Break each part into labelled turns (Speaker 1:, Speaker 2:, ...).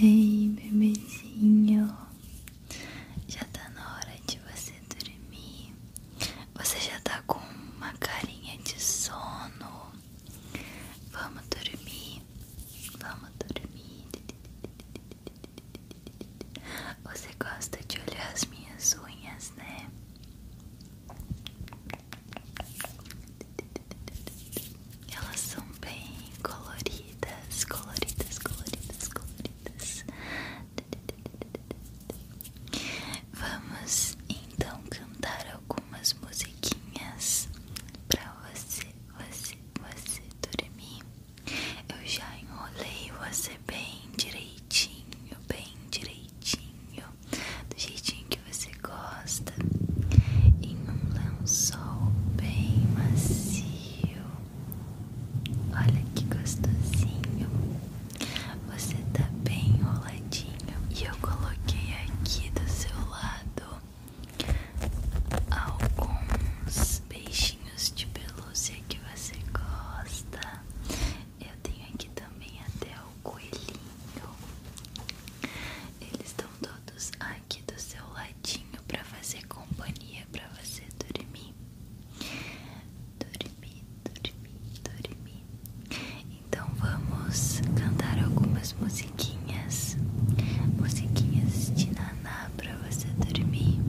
Speaker 1: Ei, bebezinho, já tá na hora de você dormir. Você já tá com uma carinha de sono. Vamos dormir, vamos dormir. Você gosta de olhar as minhas unhas, né? Elas são bem coloridas, coloridas, coloridas, coloridas. Vamos então cantar algumas musiquinhas para você, você, você dormir. Eu já enrolei você bem direitinho, bem direitinho, do jeitinho que você gosta e um lençol bem macio. Olha que gostosinho. Você tá bem enroladinho e eu coloquei aqui do seu lado alguns peixinhos de pelúcia que você gosta. Eu tenho aqui também até o coelhinho. Eles estão todos aí aqui do seu ladinho para fazer companhia para você dormir. Dormir, dormir, dormir. Então vamos cantar algumas musiquinhas, musiquinhas de naná para você dormir.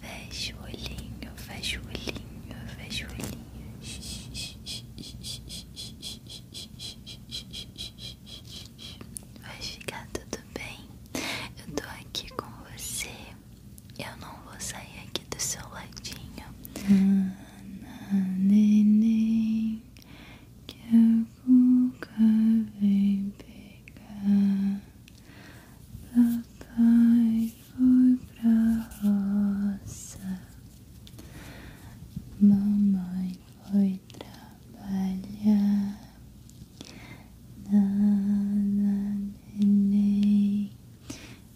Speaker 1: Fecha o olhinho, fecha o olhinho, fecha o olhinho. Vai ficar tudo bem. Eu tô aqui com você. Eu não vou sair aqui do seu ladinho. neném, que a cuca vem pegar. Papai foi pra roça. Mamãe foi trabalhar. Nada, neném,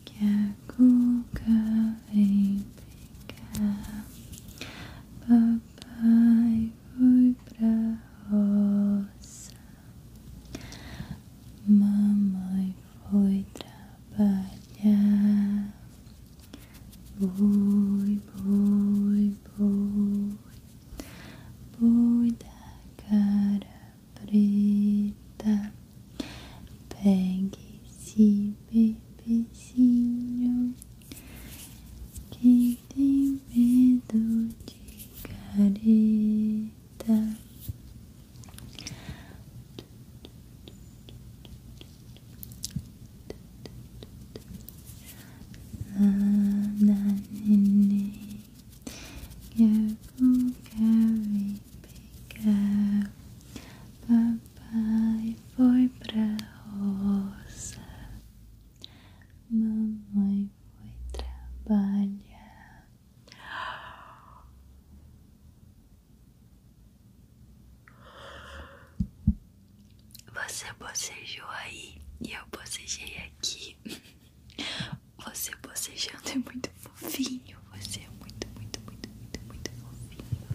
Speaker 1: que a cuca vem pegar. Papai foi pra roça. Mamãe foi trabalhar. Boi, boi, boi, boi da cara preta, pegue esse bebezinho que tem medo de careta. Nananene, careful, carry, pegar. Papai foi pra roça, mamãe foi trabalhar. Você bocejou aí e eu bocejei aqui. Você bocejando é muito fofinho. Você é muito, muito, muito, muito, muito fofinho.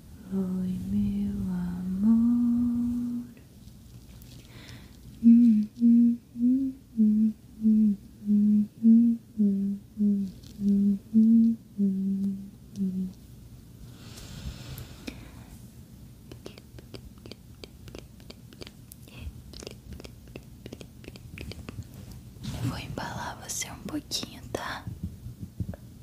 Speaker 2: Oi, meu amor.
Speaker 1: vou embalar você um pouquinho, tá?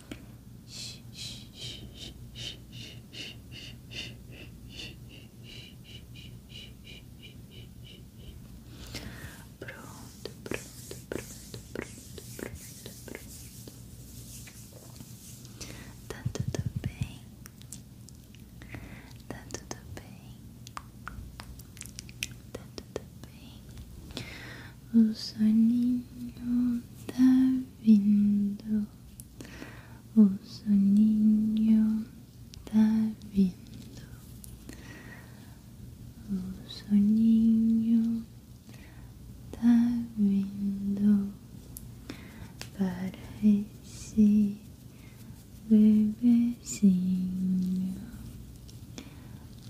Speaker 2: Pronto, pronto, pronto,
Speaker 1: pronto, pronto, pronto. Tá tudo bem?
Speaker 2: Tá tudo bem? Tá tudo bem? O
Speaker 1: soninho tá vindo. O soninho tá vindo, o soninho tá vindo para esse bebezinho.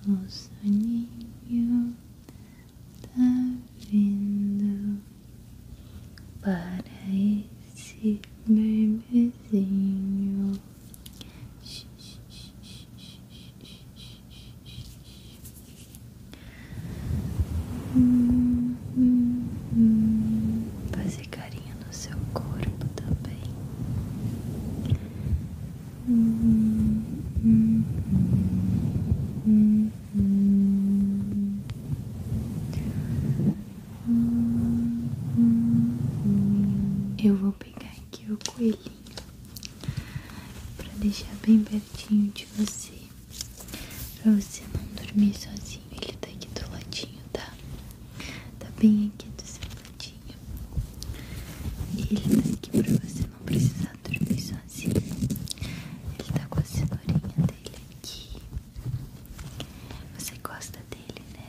Speaker 1: O soninho tá vindo para esse bebezinho. Hum, hum, Fazer carinho no seu corpo também.
Speaker 2: Hum, hum, hum,
Speaker 1: eu vou pegar aqui o coelhinho para deixar bem pertinho de você, para você não dormir sozinho. Ele tá aqui do ladinho, tá? Tá bem aqui do seu ladinho. E ele tá aqui para você não precisar dormir sozinho. Assim, assim. Ele tá com a cenourinha dele aqui. Você gosta dele, né?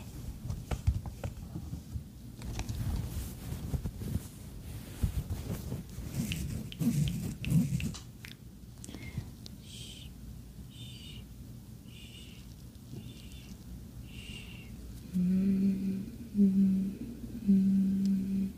Speaker 2: Hum, hum, hum,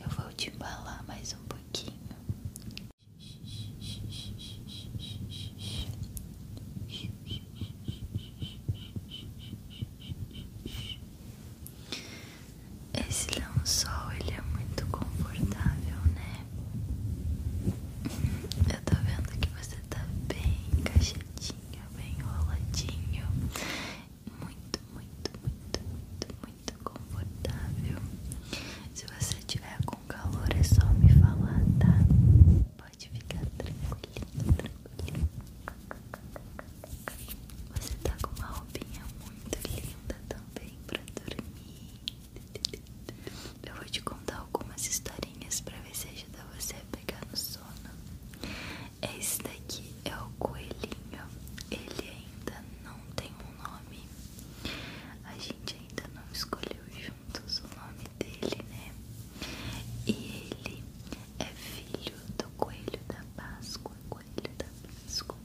Speaker 1: Eu vou te embalar mais um pouquinho esse lençol ele é muito confortável, né? Eu tô vendo que você tá bem encaixadinho, bem enroladinho, muito, muito, muito, muito, muito confortável. Se você tiver com calor, é só me falar, tá? Pode ficar tranquilo, tranquilo. Você tá com uma roupinha muito linda também pra dormir. Eu vou te contar algumas historinhas pra ver se ajuda você a pegar no sono. Esse daqui é o coelhinho. Ele ainda não tem um nome a gente ainda não escolheu juntos o nome dele, né? E ele é filho do coelho da Páscoa. Coelho da Páscoa.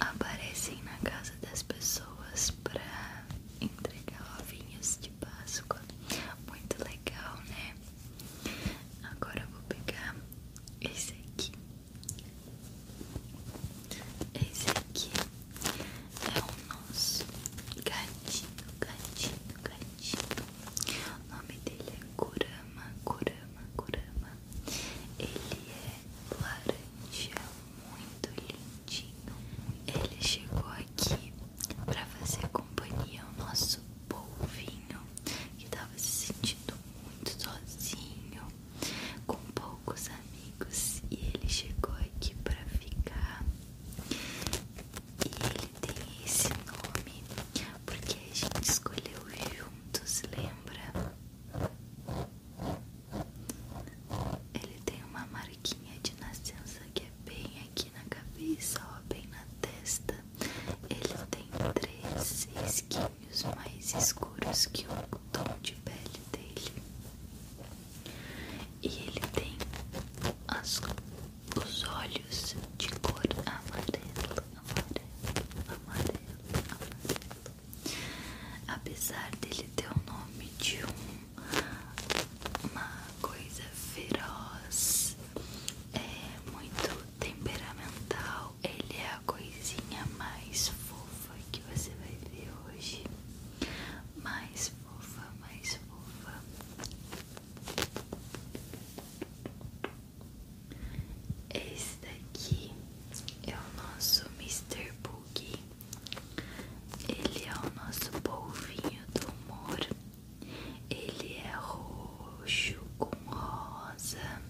Speaker 1: Aparecem na casa das pessoas para entregar ovinhos de Páscoa. Muito legal, né? Agora eu vou pegar esse aqui. Esse aqui é o nosso gatinho, gatinho, gatinho. O nome dele é Kurama, Kurama, Kurama. Ele é laranja, muito lindinho. Ele chegou aqui para fazer companhia ao nosso polvinho que estava se sentindo muito sozinho com poucos amigos e ele chegou aqui para ficar. E ele tem esse nome porque a gente escolheu juntos, lembra? Ele tem uma marquinha de nascença que é bem aqui na cabeça, ó, bem na testa. Ele tem três 6, mais escuros que o tom de pele dele. E ele tem os olhos de cor amarelo amarelo amarelo amarelo Apesar dele ter o nome de uma coisa feroz, é muito temperamental, ele é coisinha mais fofa que você vai ver hoje. Mais fofa, mais fofa. Este daqui é o nosso Mr. Boogie. Ele é o nosso polvinho do humor. Ele é roxo com rosa.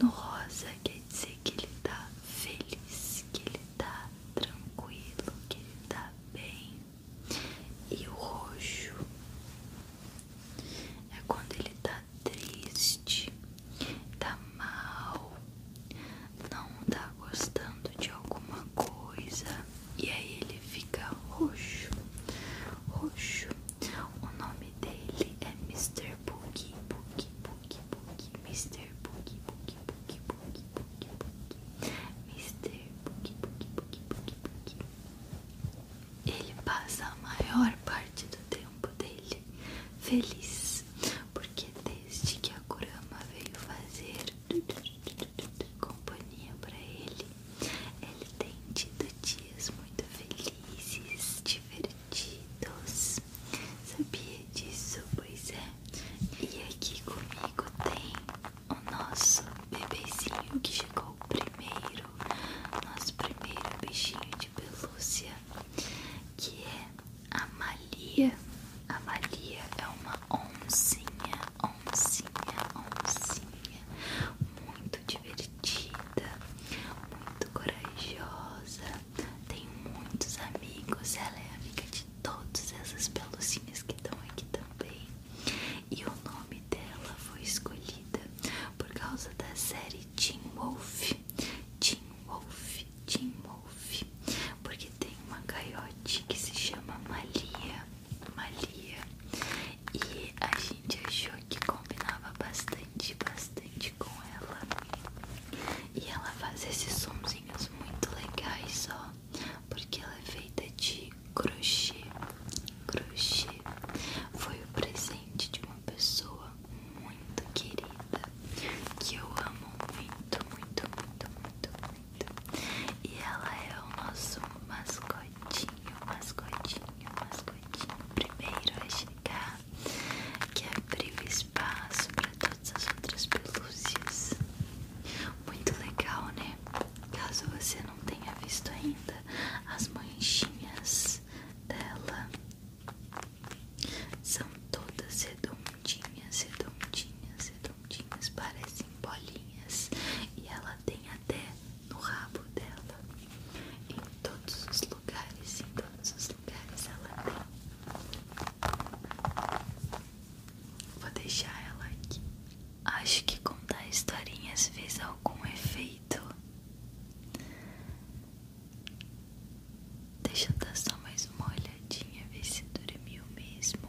Speaker 1: No rosa quer dizer que ele tá feliz, que ele tá tranquilo, que ele tá bem. E o roxo é quando ele tá triste, tá mal, não tá gostando de alguma coisa e aí ele fica roxo. Roxo. O nome dele é Mr. Boogie, Boogie, Boogie, Boogie, Mr. Boogie, Boogie, Boogie, Boogie, Boogie, Boogie, Mr. Boogie, Boogie, Boogie, Boogie, Boogie. Ele passa a maior parte do tempo dele feliz, porque desde que a Kurama veio fazer companhia para ele, ele tem tido dias muito felizes, divertidos perdidos. Sabia disso? Pois é. E aqui comigo tem o nosso bebezinho que chegou primeiro. Nosso primeiro bichinho de pelúcia. Que é a Malia. A Malia é uma oncinha, oncinha, oncinha. Muito divertida, muito corajosa tem muitos amigos, ela é amiga de todas essas pelucinhas que estão aqui também. E o nome dela foi escolhida por causa da série Teen Wolf. Teen Wolf, Teen Wolf, porque tem uma coiote que se chama Malia, Malia. E a gente achou que combinava bastante, bastante com ela e ela faz esses somzinhos muito legais só porque ela é feita de crochê. Crochê foi o presente de uma pessoa muito querida que eu amo muito, muito, muito, muito, muito. E ela é o nosso mascotinho, mascotinho, mascotinho. Primeiro, acho que abriu espaço para todas as outras pelúcias. Muito legal, né? Caso você não tenha visto ainda as manchinhas dela, são todas redondinhas, redondinhas, redondinhas, parecem bolinhas e ela tem até no rabo dela. Em todos os lugares, em todos os lugares ela tem. Vou deixar ela aqui. Acho que contar historinhas fez algum efeito. Deixa eu dar só mais uma olhadinha, ver se dormiu mesmo.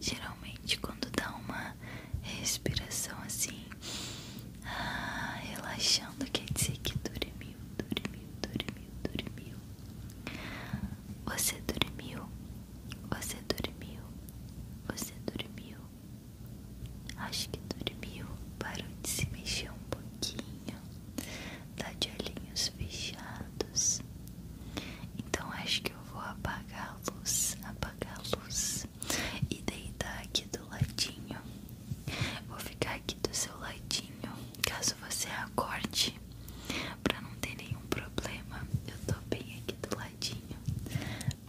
Speaker 1: Geralmente, quando dá uma respiração assim, ah, relaxando, quer dizer que dormiu, dormiu, dormiu, dormiu. Você dormiu, você dormiu, você dormiu. Acho que dormiu, parou de se mexer um pouquinho, tá de olhinhos fechados. Então acho que eu vou apagar a luz, apagar a luz, e deitar aqui do ladinho. Vou ficar aqui do seu ladinho, caso você acorde, para não ter nenhum problema. Eu tô bem aqui do ladinho,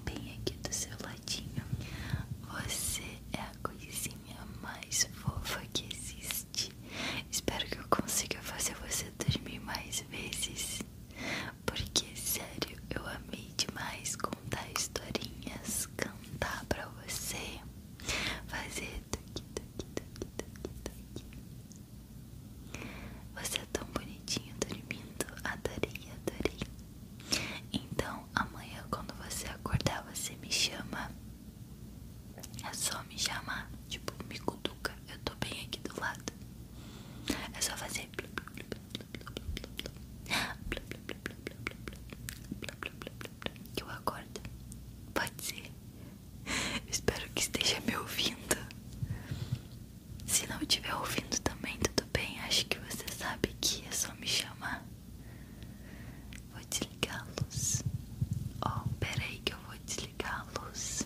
Speaker 1: bem aqui do seu ladinho. Você é a coisinha mais fofa que existe. Espero que eu consiga fazer você dormir mais vezes, porque sério, eu amei demais contar historinhas, cantar pra você, fazer tuqui, tuqui, tuqui, tuqui, tuqui. Você é tão bonitinho dormindo, adorei, adorei. Então amanhã quando você acordar você me chama. É só me chamar, tipo, me conduca eu tô bem aqui do lado. É só fazer. Que eu acordo. Pode ser. espero que esteja me ouvindo. Se não estiver ouvindo também, tudo bem. Acho que você sabe que é só me chamar. Vou desligar a luz. Ó, oh, peraí que eu vou desligar a luz.